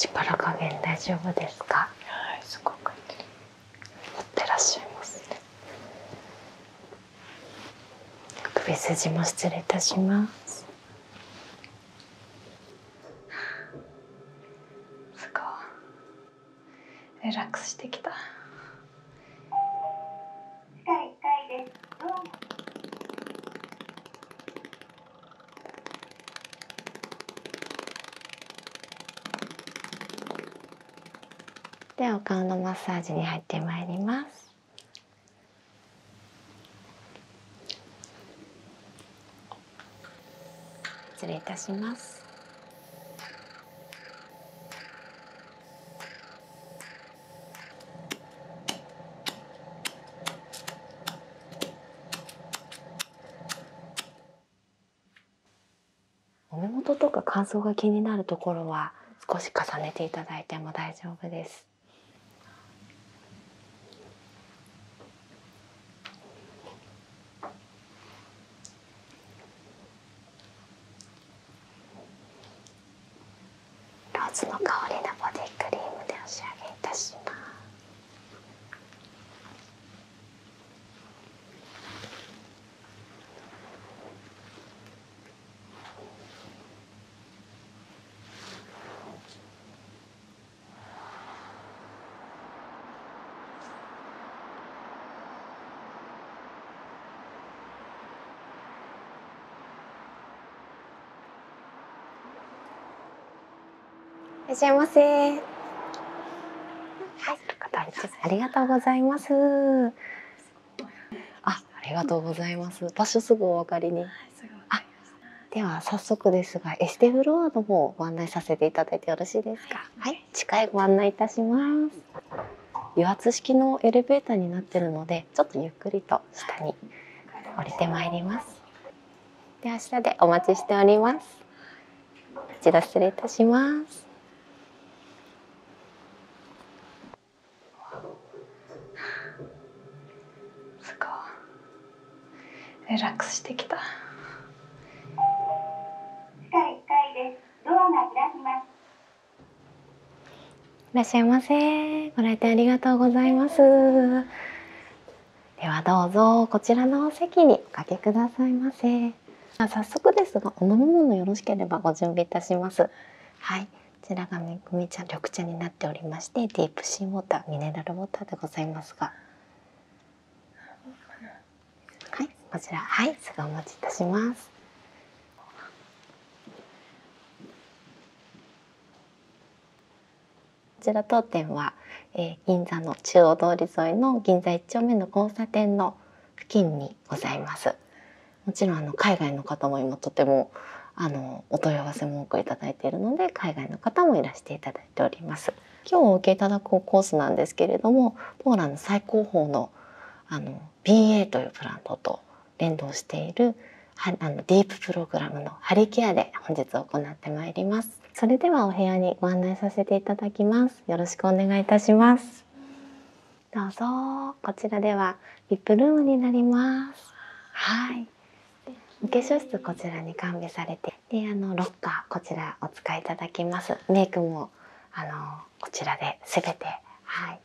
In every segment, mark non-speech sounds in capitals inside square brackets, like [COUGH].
力加減大丈夫ですか。はい、すごくいってらっしゃいます首筋も失礼いたします。[LAUGHS] すごいリラックスしてきた。では、お顔のマッサージに入ってまいります。失礼いたします目元とか乾燥が気になるところは少し重ねていただいても大丈夫です。ローズの香りのボディクリームでお仕上げいたします。いらっしゃいませ。ありがとうございます。あ、ありがとうございます。場すぐお分かりに。あ、では早速ですがエステフロアの方ご案内させていただいてよろしいですかはい、はい、ご案内いたします油圧式のエレベーターになってるのでちょっとゆっくりと下に降りてまいりますでは下でお待ちしておりますこち失礼いたしますすごいリラしてきた。ではどうぞこちらのお席におかけくださいませ。早速ですが、お飲み物よろしければご準備いたします。はい。こちらがめぐみ茶緑茶になっておりましてディープシーウォーターミネラルウォーターでございますがはい、こちらはい、すぐお持ちいたします。こちら当店は、えー、銀座の中央通り沿いの銀座1丁目の交差点の付近にございます。もちろんあの海外の方も今とてもあのお問い合わせも多くいただいているので海外の方もいらしていただいております。今日お受けいただくコースなんですけれどもポーランド最高峰のあの BA というプラントと連動しているあのディーププログラムのハリケアで本日行ってまいりますそれではお部屋にご案内させていただきますよろしくお願いいしますどうぞこちらでは VIP ルームになりますはいお化粧室こちらに完備されてであのロッカーこちらお使いいただきますメイクもあのこちらで全て、はい、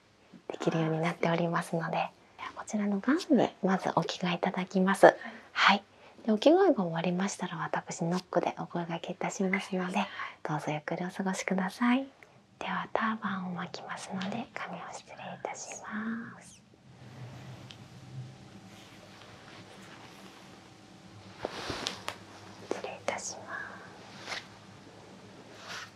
できるようになっておりますのでこちらのガウンにまずお着替えいただきます、ははい、でお着替えが終わりましたら私ノックでお声がけいたしますのでどうぞゆっくりお過ごしくださいではターバンを巻きますので髪を失礼いたします失礼いたします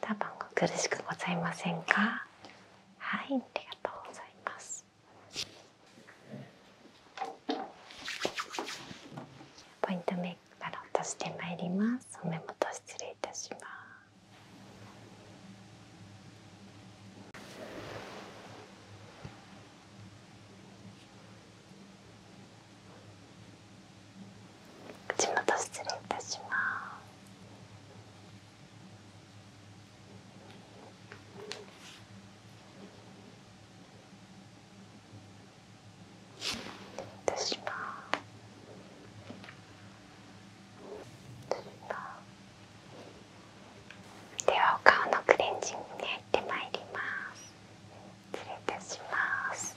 タバ苦しくございませんかはいありがとうございますポイントメイクから落としてまいりますお目元失礼いたします口元失礼いたします私はではお顔のクレンジングに入ってまいります失礼いたします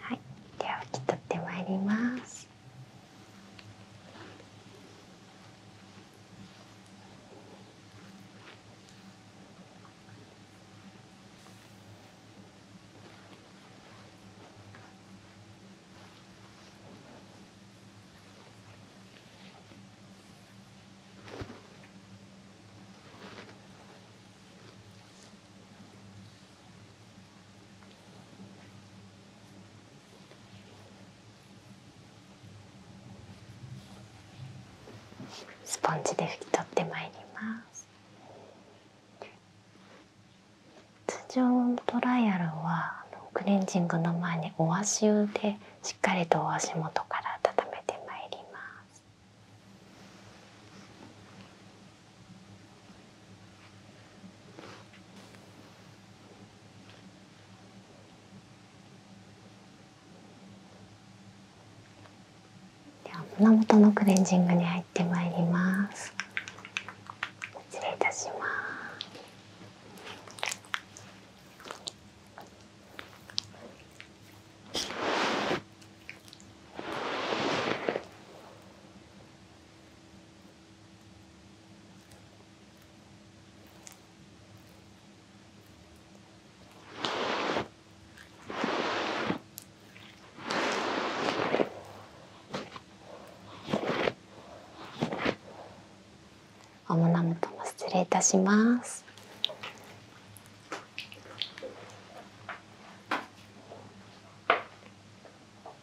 はい、では拭き取ってまいります。スポンジで拭き取ってまいります。通常トライアルはクレンジングの前にお足湯でしっかりとお足元から温めてまいります。では胸元のクレンジングに入ってまいります。失礼いたします。お胸元も失礼いたします。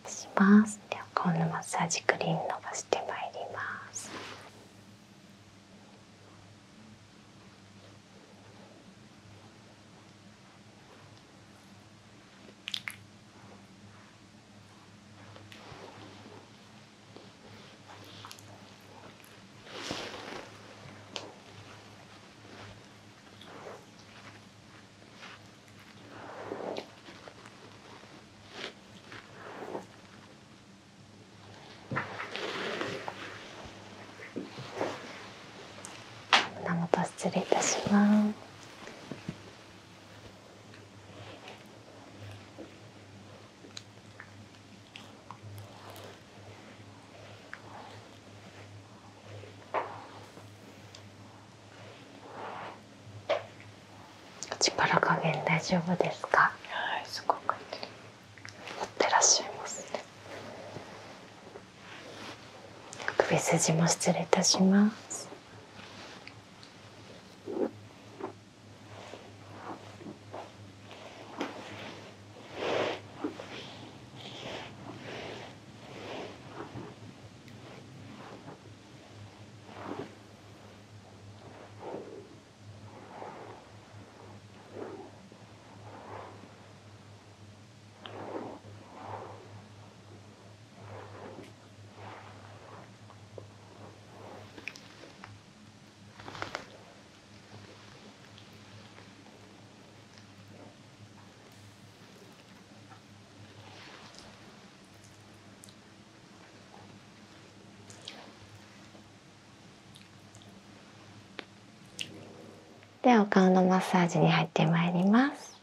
します。では今度マッサージクリーム伸ばしてまいります。胸元失礼いたします。はい、すごく。持ってらっしゃいますね。首筋も失礼いたしますでは、お顔のマッサージに入ってまいります。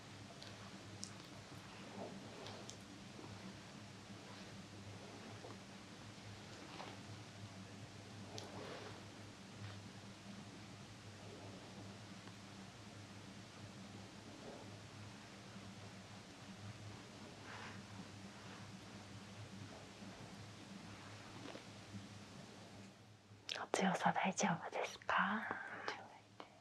お強さ大丈夫ですか。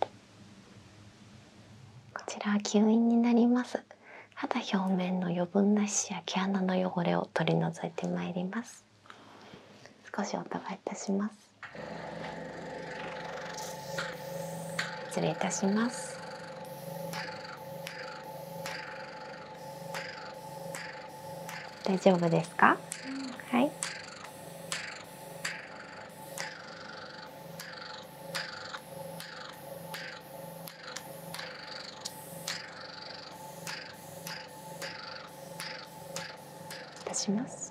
こちら吸引になります肌表面の余分な皮や毛穴の汚れを取り除いてまいります少しお伺いいたします失礼いたします大丈夫ですか、はいいたします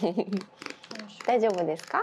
[LAUGHS] 大丈夫ですか？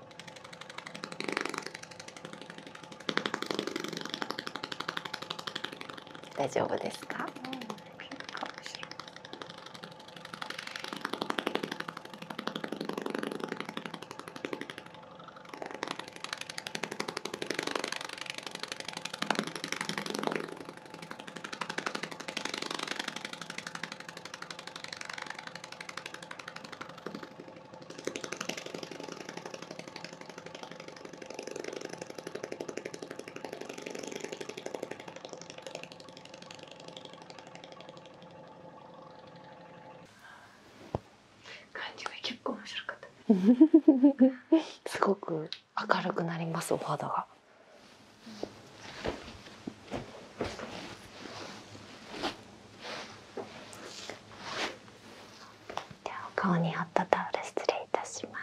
大丈夫ですか、感じが結構面白かった、すごく明るくなりますお肌が。ではお顔にあったタオル失礼いたします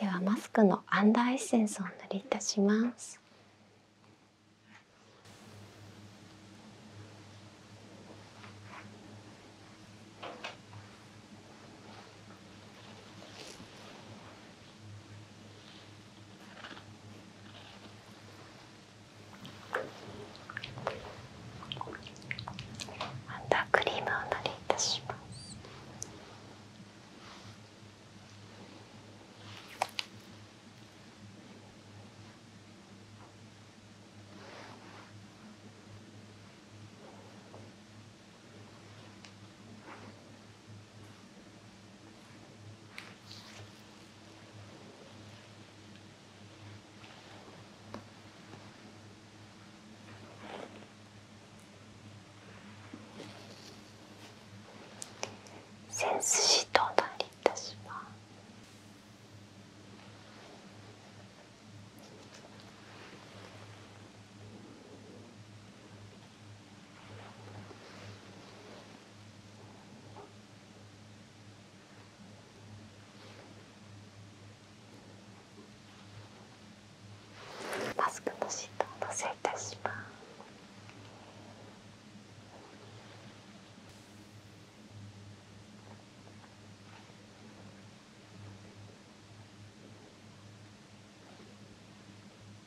ではマスクのアンダーエッセンスをお塗りいたします。アンダークリームを塗りいたしますセンスシーなりいたします。マスクのシートをのせいたします。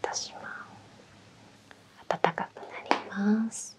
私は暖かくなります。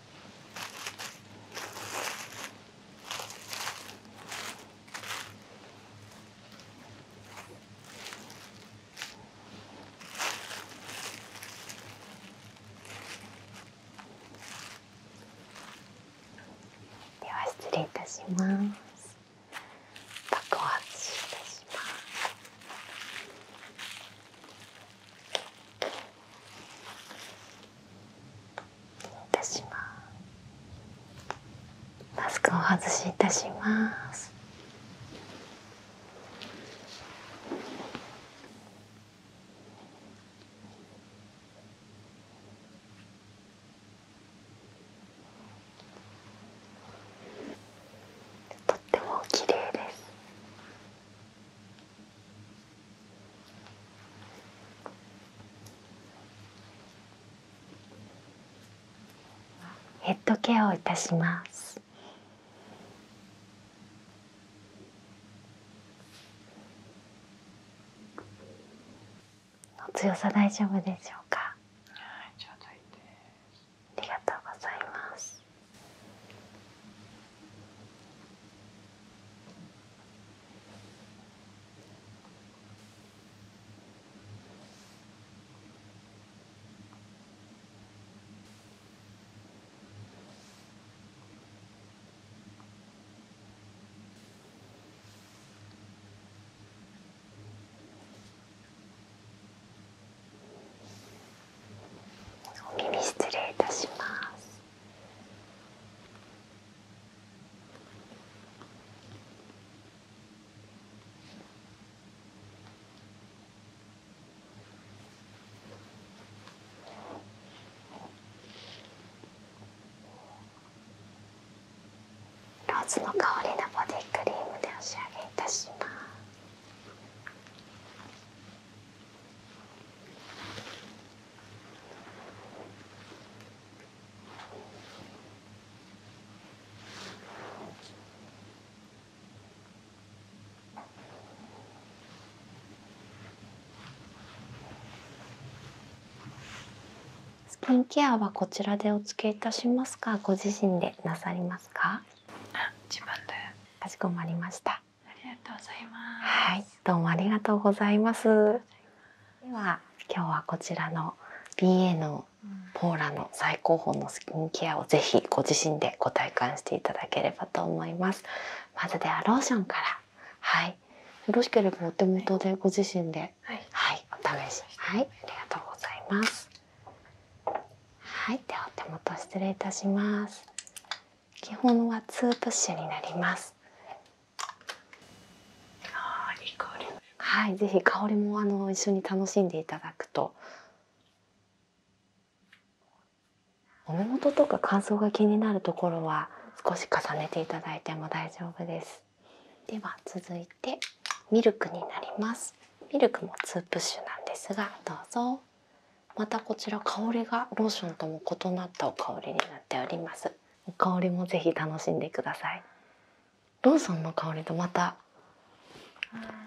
では失礼いたします。爆発いたします。いたしますマスクを外しいたしますとっても綺麗ですヘッドケアをいたします強さ大丈夫でしょうかありがとうございますお耳失礼いたします。ローズの香りのボディクリームでお仕上げいたします。スキンケアはこちらでお付けいたしますかご自身でなさりますかかしこまりましたありがとうございます。どうもありがとうございます。では今日はこちらの BA のポーラの最高峰のスキンケアをぜひご自身でご体感していただければと思います。まずはローションから、はい、よろしければお手元でご自身で、はい、お試し、はい、ありがとうございます。はい、ではお手元失礼いたします。基本はツープッシュになります。いい香はい、ぜひ香りもあの一緒に楽しんでいただくとお目元とか乾燥が気になるところは少し重ねていただいても大丈夫ですでは続いてミルクになりますミルクもツープッシュなんですがどうぞまたこちら香りがローションとも異なったお香りになっておりますお香りもぜひ楽しんでくださいローソンの香りとまた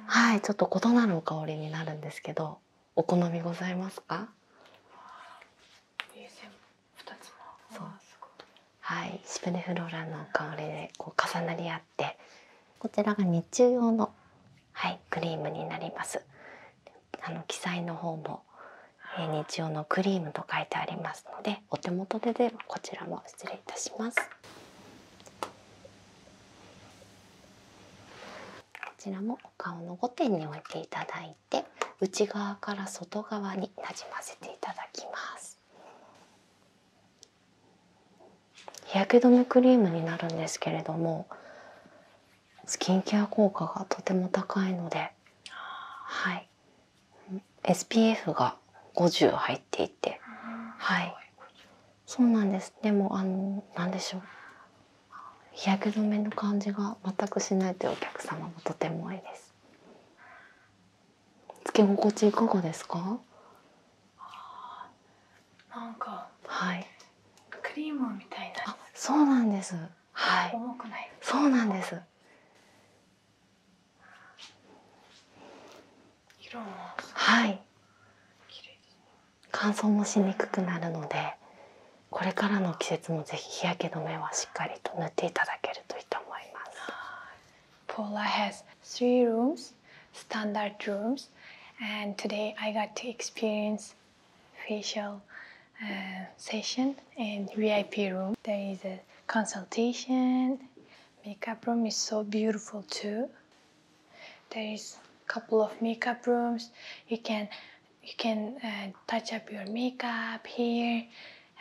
はいちょっと異なるお香りになるんですけどお好みございますかはいシプレフローランの香りでこう重なり合ってこちらが日中用のはいクリームになりますあの記載の方もえ日曜のクリームと書いてありますのでお手元ででこちらも失礼いたします。こちらもお顔の5点に置いていただいて内側から外側になじませていただきます。日焼け止めクリームになるんですけれどもスキンケア効果がとても高いので、はい、SPF が50入っていて、はい、そうなんです。でもあの何でしょう、日焼け止めの感じが全くしないというお客様もとても多いです。つけ心地いかがですか？なんか、はい、クリームみたいな。そうなんです。はいそうなんですはい乾燥もしにくくなるのでこれからの季節もぜひ日焼け止めはしっかりと塗っていただけるといいと思います Paula has three rooms s t a and today I got to experience facial uh, session and VIP room. There is a consultation. Makeup room is so beautiful too. There is a couple of makeup rooms. You can you can uh, touch up your makeup here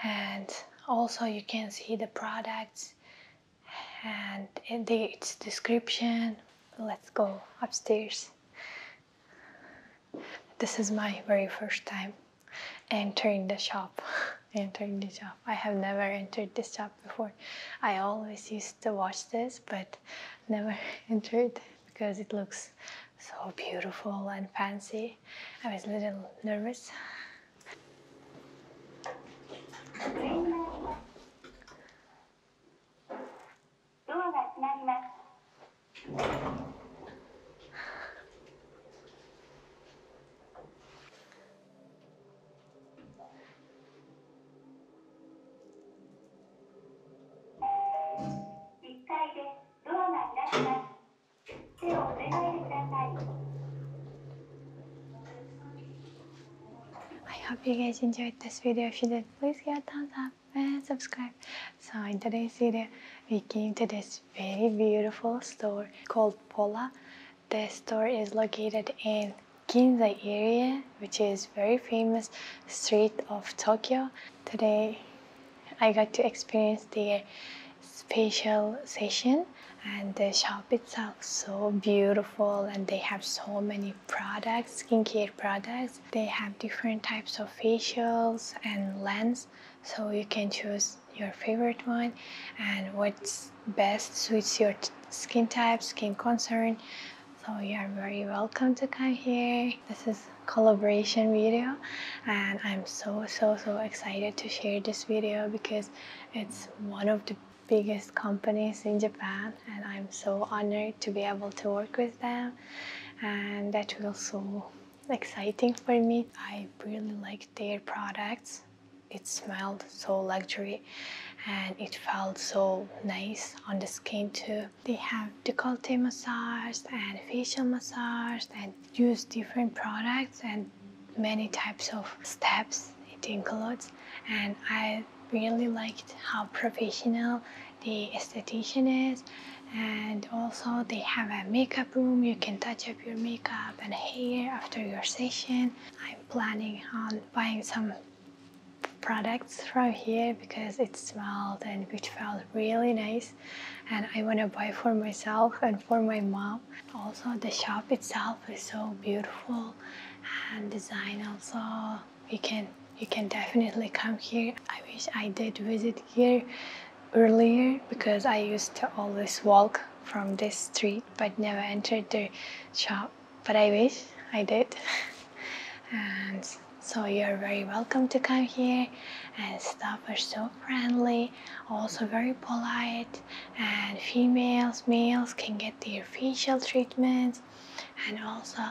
and also you can see the products and its description. Let's go upstairs. This is my very first time entering the shop. [LAUGHS] entering the shop. I have never entered the shop before. I always used to watch this but never [LAUGHS] entered because it looks so beautiful and fancy. I was a little nervous. ドアが閉まります。1階でドアが開きます。手をお願いください。I hope you guys enjoyed this video. If you did, please give it a thumbs up. and subscribe. So in today's video, we came to this very beautiful store called Pola. This store is located in Ginza area, which is very famous street of Tokyo. Today, I got to experience their special session and the shop itself so beautiful and they have so many products skincare products they have different types of facials and lens so you can choose your favorite one and what's best suits your skin type, skin concern. So you are very welcome to come here. This is collaboration video and I'm so so so excited to share this video because it's one of the biggest companies in Japan and I'm so honored to be able to work with them and that was so exciting for me. I really liked their products. It smelled so luxury and it felt so nice on the skin too. They have decollete massage and facial massage and use different products and many types of steps it includes and I really liked how professional the esthetician is and also they have a makeup room you can touch up your makeup and hair after your session i'm planning on buying some products from here because it smelled and it felt really nice and I want to buy for myself and for my mom. Also the shop itself is so beautiful and design also you can you can definitely come here i wish i did visit here earlier because i used to always walk from this street but never entered the shop but i wish i did [LAUGHS] and so you're very welcome to come here and staff are so friendly also very polite and females males can get their facial treatments and also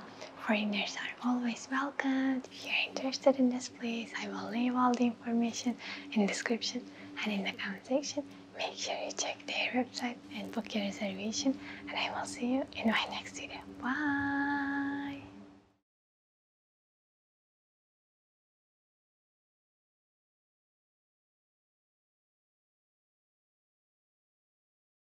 foreigners are always welcome. If you're interested in this place, I will leave all the information in description and in the comment section. Make sure you check their website and book your reservation and I will see you in my next video. Bye!